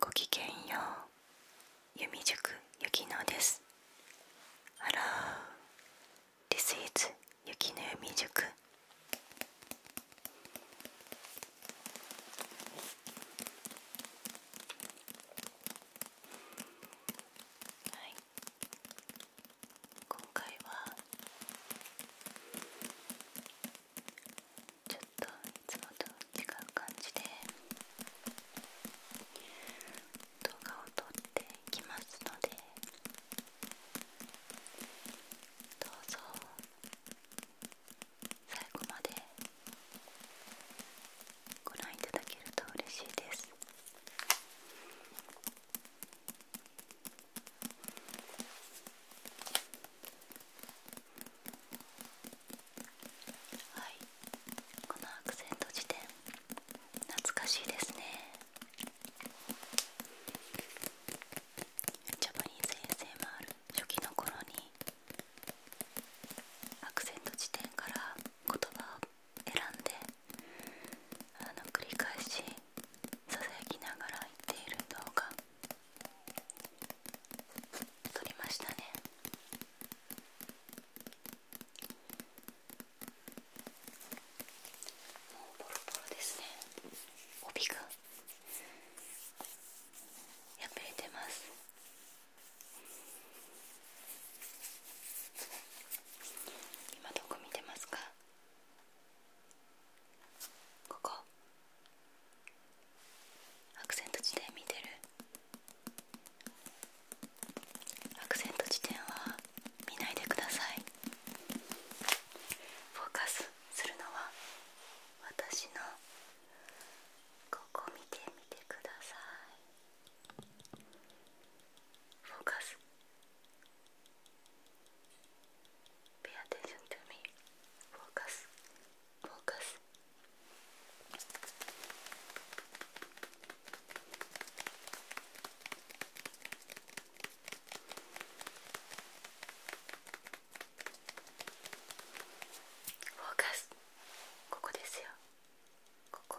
ごきげんよう弓塾ゆきのですあら。l l o This is ゆきの弓塾はい今回はちょっといつもと違う感じで動画を撮っていきますのでどうぞ最後までご覧いただけると嬉しいですはいこのアクセント辞典懐かしいですねジャパニーズ生もある。初期の頃にアクセント辞典から言葉を選んであの繰り返しささやきながら言っている動画取りましたねもうボロボロですね帯が破れてます今どこ見てますかここアクセント地点見てるアクセント地点は見ないでくださいフォーカスするのは私のここ見てみてくださいフォーカス Pay attention to me. Focus. Focus. Focus. ここですよ。ここ。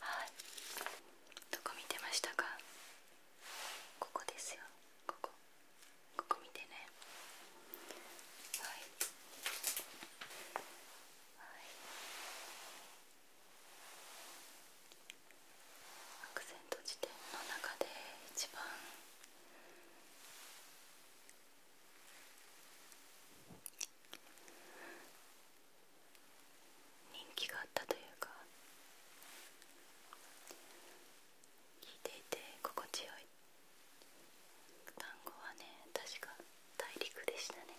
はいどこ見てましたかここですよここここ見てねはいはいアクセント辞典の中で一番人気があったというか聞いていて心地よい単語はね確か大陸でしたね。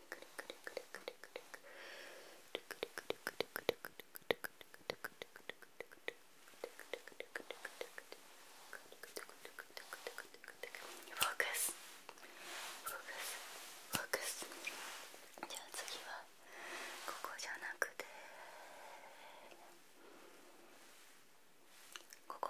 Focus. Focus. Focus. じゃあ次はここじゃなくてここ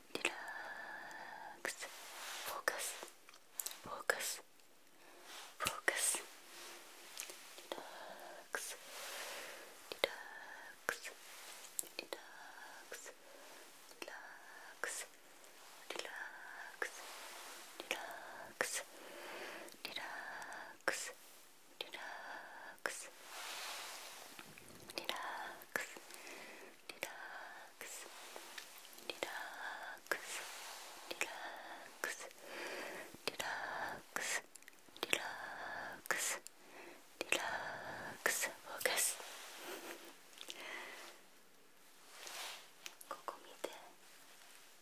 relax focus focus focus relax relax relax relax relax relax relax relax リラックスリラックスリラックスリラックスリラックスリラックスフォーカスここ見て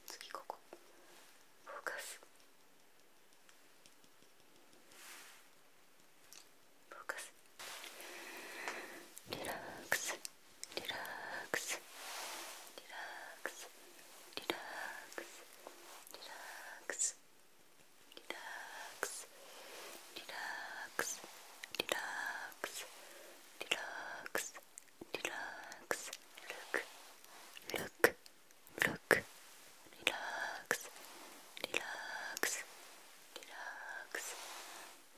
次ここフォーカス Focus. Relax. Relax. Relax. Relax. Relax. Relax. Relax. Relax. Relax. Relax. Look. Look. Look. Relax. Relax. Relax. Relax.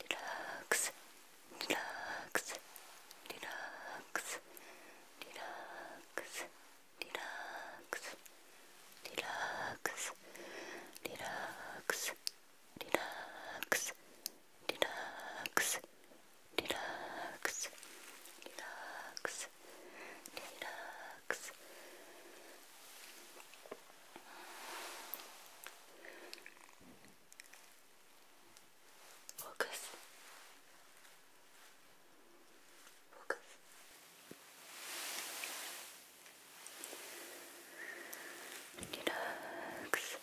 deluxe, deluxe, deluxe, deluxe, deluxe, deluxe, deluxe, deluxe, deluxe, deluxe, deluxe, Focus. Focus. Relax.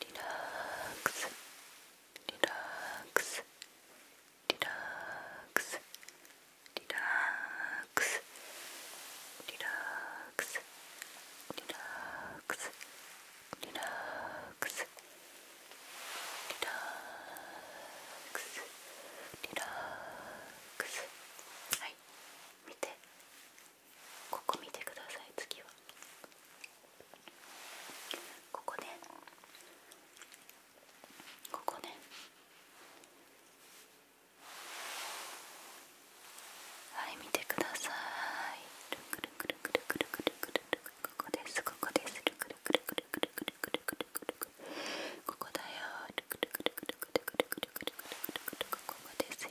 Relax. Relax. Relax. リラックスリラックスリラックスリラックスリラックスリラックスはい見てここ見てください次はここねここねはい見てくださいここですここですここだよここですよ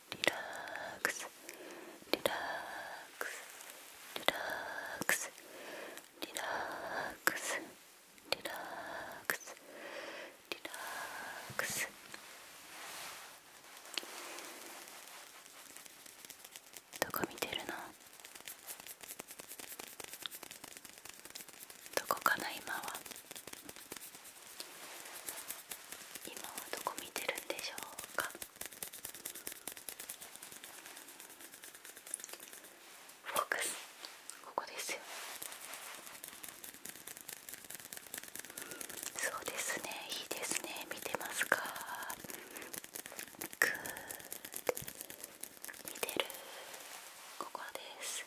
リラックスリラックスリラックスリラックスリラックスリラックスどこ見てるのどこかな今は今はどこ見てるんでしょうかフォークスここですよそうですねいいですね見てますかグー見てるここです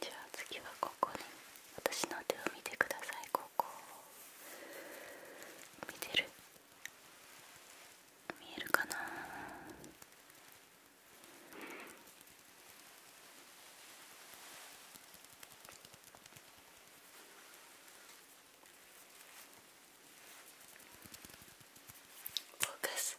じゃあ次はここに私の手を見てくださいここ見てる見えるかなフォーカス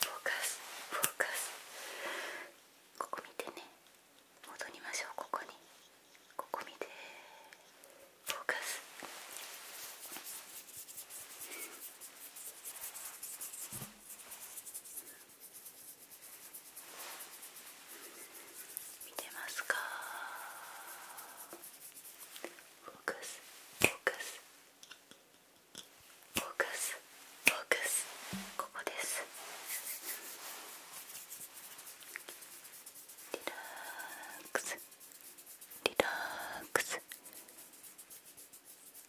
フォーカスフォーカスここ見てね戻りましょうここにここ見てフォーカス見てますかフォーカスフォーカスフォーカスフォーカスここですリラックスリラックス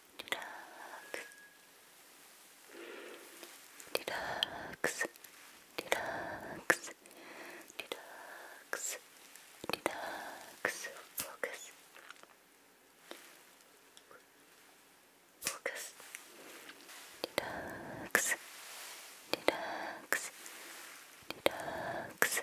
Relax, relax, relax, relax. Focus, focus. Relax, relax, relax,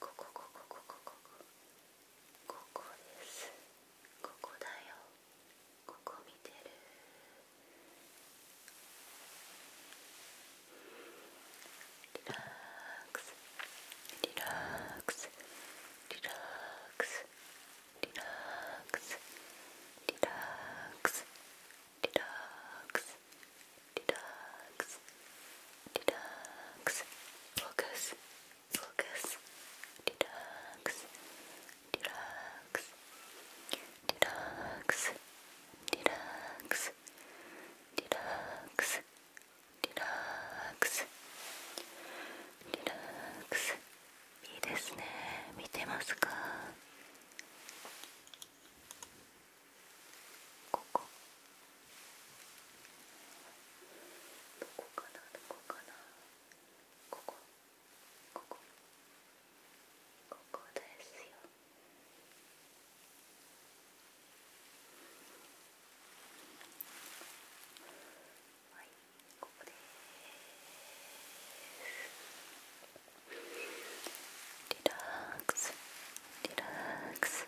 ここここここここここですここだよここ見てるリラックスリラックスリラックスリラックスリラックスリラックス Detox. Detox. Focus. Focus. Detox. Detox. Detox. Detox. Detox. Detox. Detox. いいですね見てますかここどこかなどこかなここここここですよはいここですリラックスリラックス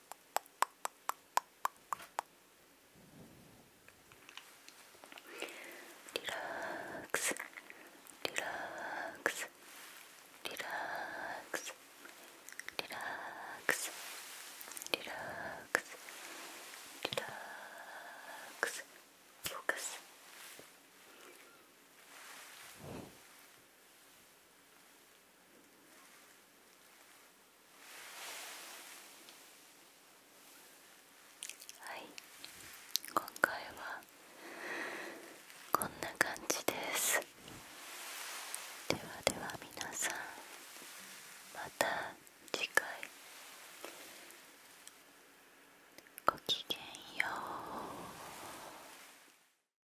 Relax, relax, relax, relax, relax, relax, focus. Relax. はい今回はこんな感じですではでは皆さんまた次回ごきげんよう